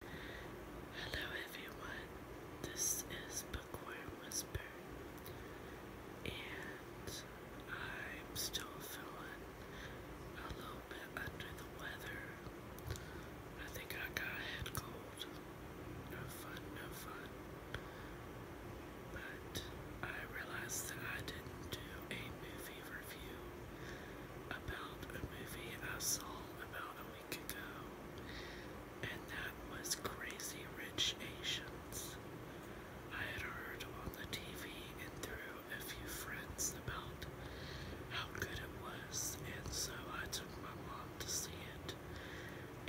Hello everyone, this is Bookworm Whisper, and I'm still feeling a little bit under the weather. I think I got a head cold. No fun, no fun. But I realized that I didn't do a movie review about a movie I saw about a ago, and that was Crazy Rich Asians. I had heard on the TV and through a few friends about how good it was, and so I took my mom to see it,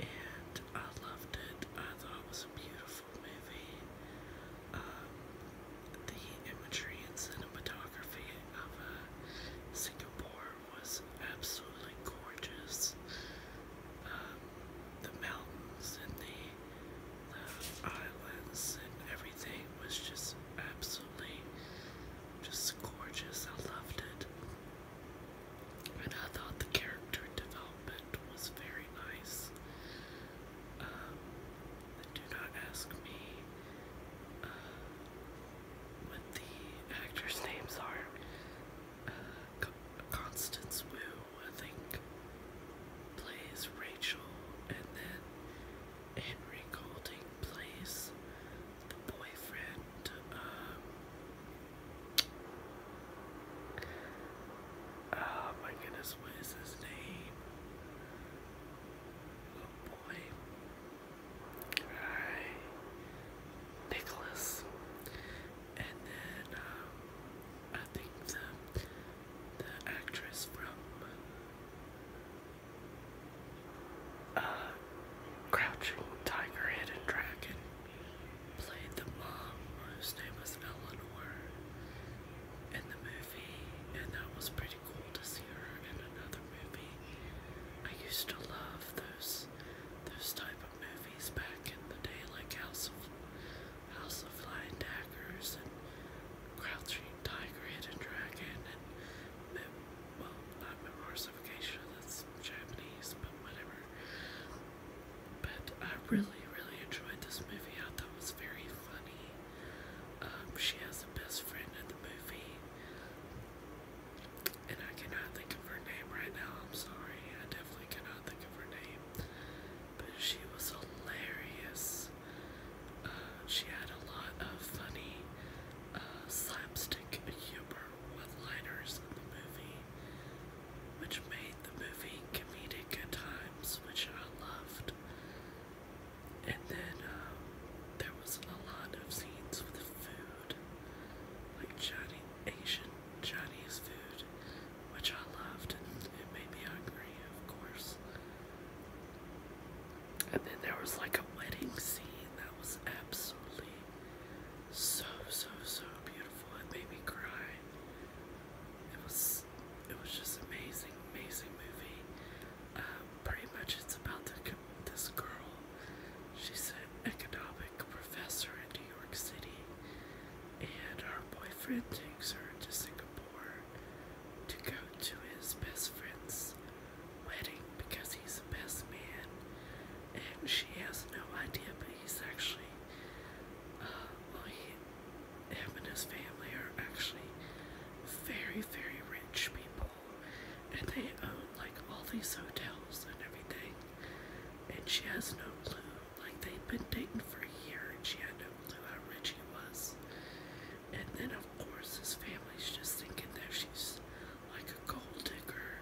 and I loved it. I thought it was a beautiful movie. Um, the imagery and cinematography topography of uh, Singapore was absolutely gorgeous. Um, the mountains and the, islands and everything was just absolutely just gorgeous. I loved it. And I thought the character development was very nice. Um, do not ask me uh, what the actors' names are. Uh, Constance Wu, I think, plays Rachel, and then Henry Golding plays the boyfriend. Um, oh my goodness, what is his name? Oh boy. Nicholas, and then um, I think the the actress from uh, Crouching Tiger, Hidden Dragon played the mom whose name was Eleanor in the movie, and that was pretty cool to see her in another movie. I used to love those those type of movies back in the day, like House of House of Flying Daggers and Crouching Tiger, Hidden Dragon, and well, not Memoirs of a Geisha, that's Japanese, but whatever. But I really, really enjoyed this movie. I thought it was very funny. Um, she has the best friend in the movie. And I cannot think of her name right now. I'm sorry. I definitely cannot think of her name. But she was hilarious. Uh, she had a lot of funny uh, slapstick humor one liners in the movie, which made the movie comedic at times, which I loved. And then uh, there was a lot of scenes with food, like Johnny, Asian Chinese food, which I loved, and it made me hungry, of course. And then there was like a wedding scene that was absolutely so, so, so beautiful. It made me cry. It was, it was just amazing, amazing movie pretty much it's about this girl. She's an economic professor in New York City, and her boyfriend takes her to Singapore to go to his best friend's wedding because he's the best man, and she has no idea, but he's actually, uh, well, he him and his family are actually very, very rich people, and they own like all these hotels and everything. And she has no clue. Like they've been dating for a year, and she had no clue how rich he was. And then, of course, his family's just thinking that she's like a gold digger,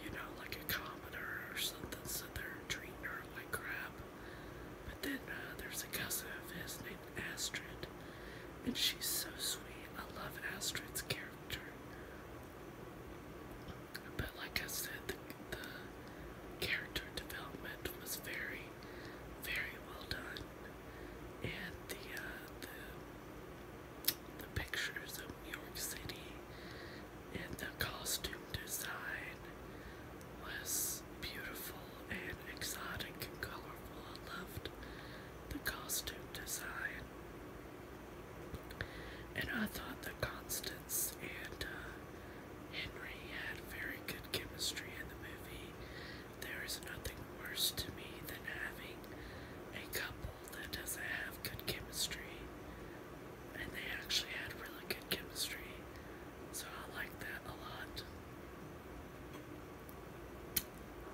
you know, like a commoner or something. So they're treating her like crap. But then uh, there's a cousin of his named Astrid, and she's so sweet. I love Astrid's character. But like I said, the, character development was very, very well done, and the uh, the the pictures of New York City and the costume design was beautiful and exotic and colorful. I loved the costume design. And I thought that Constance and uh, Henry had very good chemistry in the movie. There is nothing worse to me than having a couple that doesn't have good chemistry. And they actually had really good chemistry. So I like that a lot.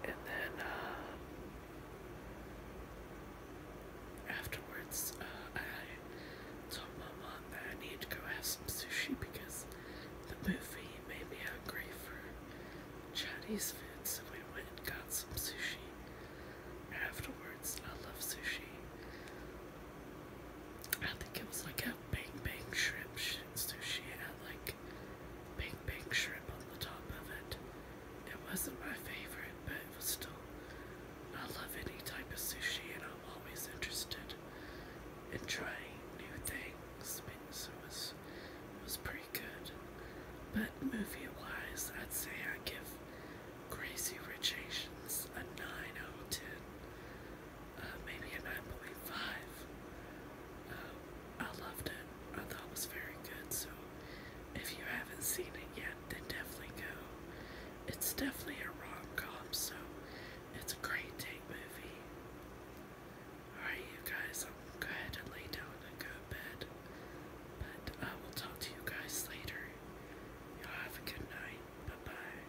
And then uh, afterwards, uh, I told my mom that I need to go have some sushi because the movie made me hungry for Chinese food, so we went and got some sushi. Afterwards, I love sushi. I think it was like a bang bang shrimp sushi. It had like bang bang shrimp on the top of it. It wasn't my favorite, but it was still. I love any type of sushi, and I'm always interested in trying new things. So it was, it was pretty good. But movie wise, I'd say I give Crazy Rich Asians a 9 out of 10 uh, maybe a 9.5. Um, uh, I loved it. I thought it was very good. So if you haven't seen it yet, then definitely go. It's definitely a rom-com, so it's a great date movie. Alright, you guys, i will go ahead and lay down and go to bed. But I will talk to you guys later. Y'all have a good night. Bye-bye.